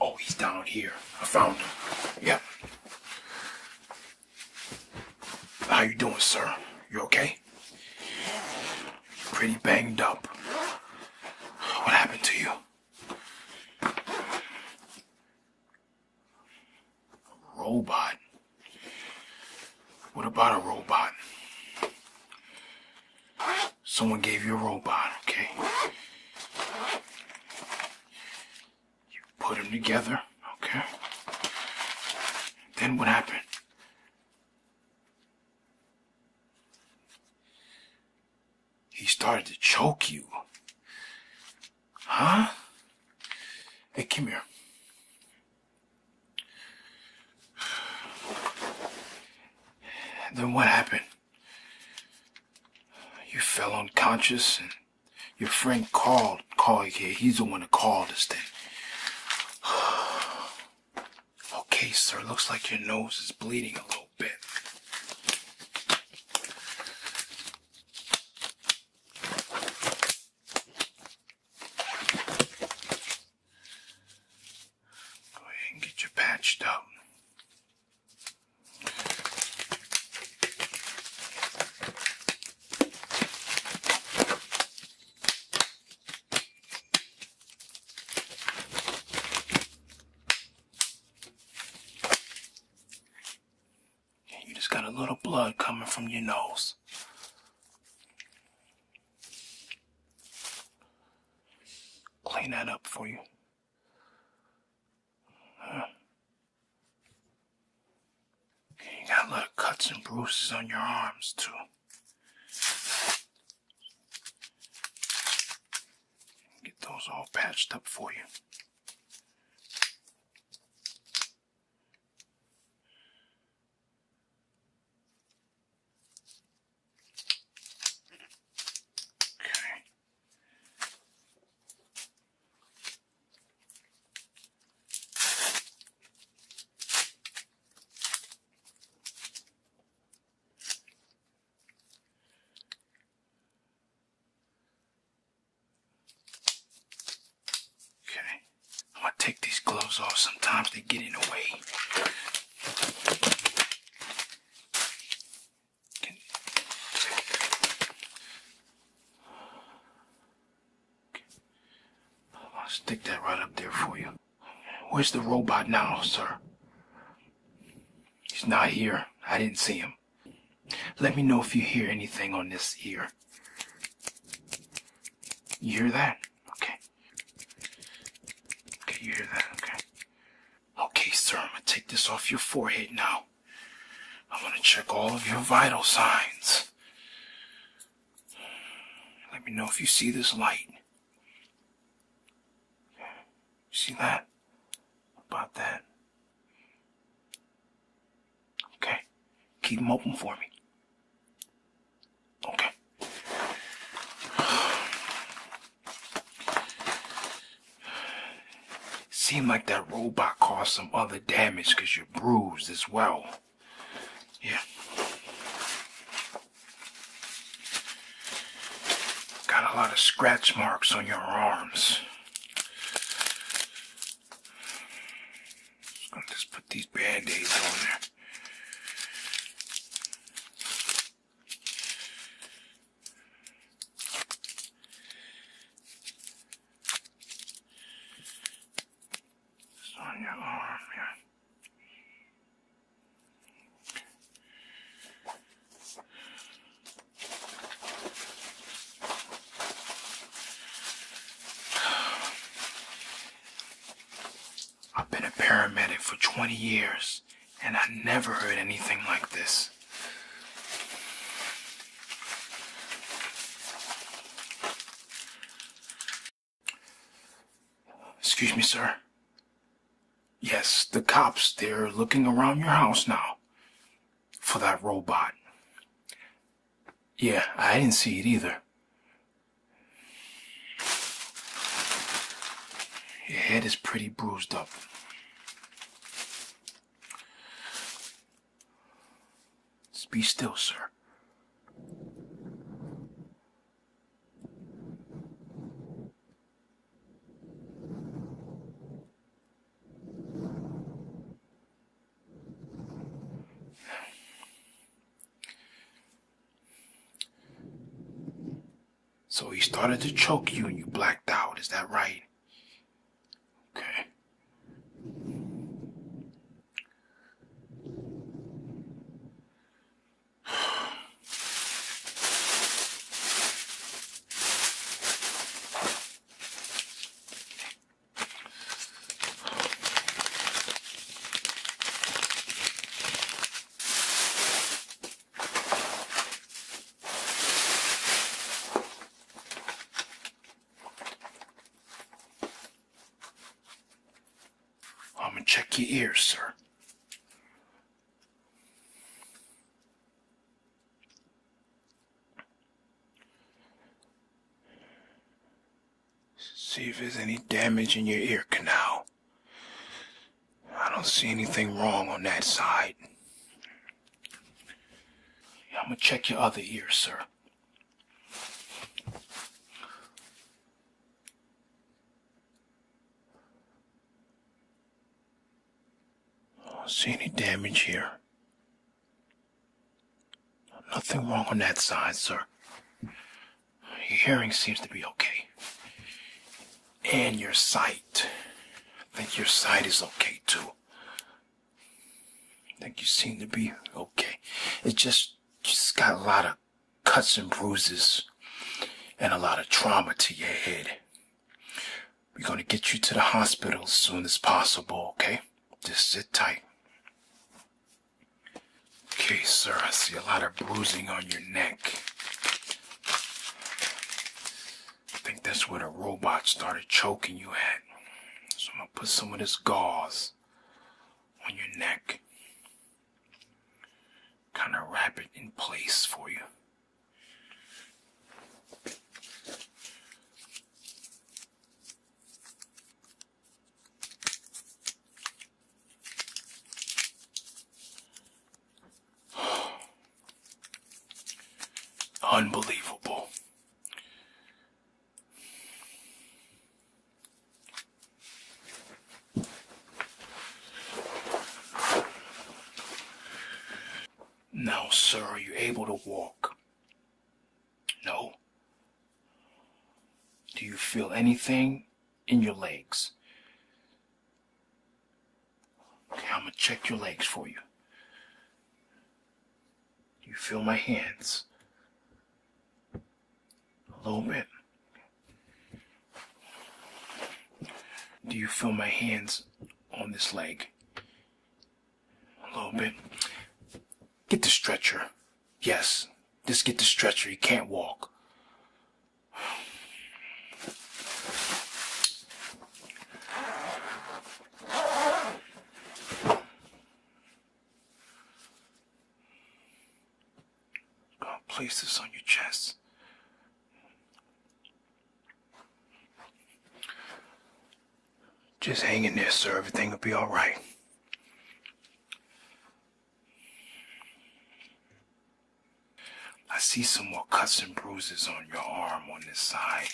Oh, he's down here. I found him. Yep. How you doing, sir? You okay? Pretty banged up. What happened to you? robot. What about a robot? Someone gave you a robot, okay? You put them together, okay? Then what happened? He started to choke you. Huh? Hey, come here. Then what happened? You fell unconscious and your friend called, called here. He's the one to call this thing. okay, sir, looks like your nose is bleeding a little bit. Go ahead and get you patched up. you just got a little blood coming from your nose clean that up for you. You got a lot of cuts and bruises on your arms, too. Get those all patched up for you. Okay. Okay, I'm gonna take these gloves off. Sometimes they get in the way. I'll stick that right up there for you. Where's the robot now, sir? He's not here. I didn't see him. Let me know if you hear anything on this ear. You hear that? Okay. Okay, you hear that? Okay. Okay, sir, I'm gonna take this off your forehead now. I'm gonna check all of your vital signs. Let me know if you see this light. see that? About that. Okay. Keep them open for me. Okay. Seemed like that robot caused some other damage because you're bruised as well. Yeah. Got a lot of scratch marks on your arms. I'm just put these band-aids on there. Just on your arm, yeah. I've been a paramedic for 20 years and I never heard anything like this. Excuse me, sir. Yes, the cops, they're looking around your house now for that robot. Yeah, I didn't see it either. Your head is pretty bruised up. Just be still, sir. So he started to choke you and you blacked out. Is that right? Okay. I'm going to check your ears, sir. See if there's any damage in your ear canal. I don't see anything wrong on that side. I'm gonna check your other ear, sir. I don't see any damage here. Nothing wrong on that side, sir. Your hearing seems to be okay. And your sight. I think your sight is okay too. I think you seem to be okay. It just, just got a lot of cuts and bruises and a lot of trauma to your head. We're gonna get you to the hospital as soon as possible, okay? Just sit tight. Okay, sir, I see a lot of bruising on your neck. I think that's where the robot started choking you at. So I'm gonna put some of this gauze on your neck. Kind of wrap it in place for you. Unbelievable. Now, sir, are you able to walk? No. Do you feel anything in your legs? I'm gonna check your legs for you. You feel my hands a little bit. Do you feel my hands on this leg? A little bit. Get the stretcher. Yes, just get the stretcher. He can't walk. Go and place this on your chest. Just hang in there, sir. Everything will be all right. I see some more cuts and bruises on your arm on this side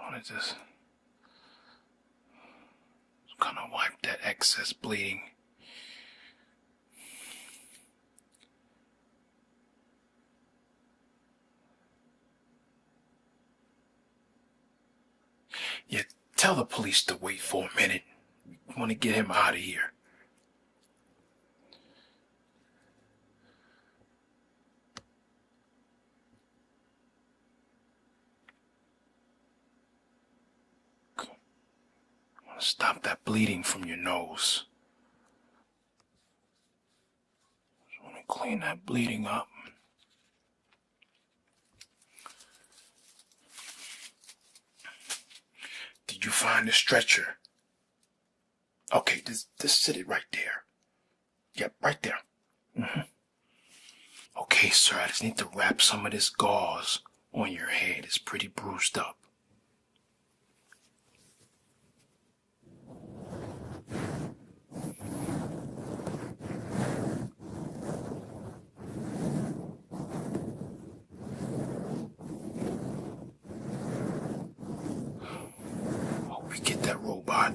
what is this? Just gonna wipe that excess bleeding. Yeah, tell the police to wait for a minute. We want to get him out of here. Stop that bleeding from your nose. Let me clean that bleeding up. Did you find the stretcher? Okay, just, just sit it right there. Yep, right there. Mm-hmm. Okay, sir, I just need to wrap some of this gauze on your head. It's pretty bruised up. Oh, we get that robot.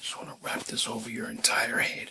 Just want to wrap this over your entire head.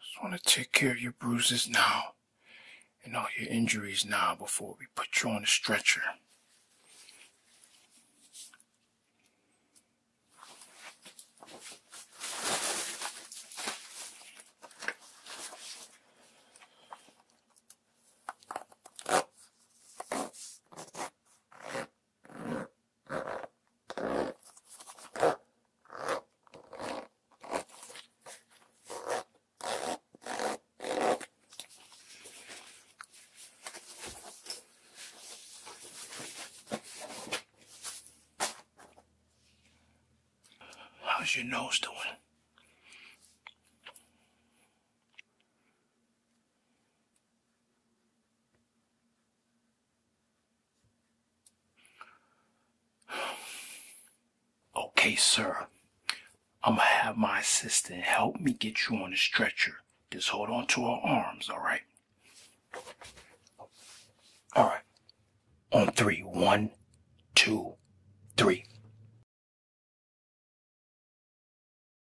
Just want to take care of your bruises now and all your injuries now before we put you on the stretcher. How's your nose doing? Okay, sir. I'm gonna have my assistant help me get you on the stretcher. Just hold on to our arms, all right? All right. On three. One, two, three.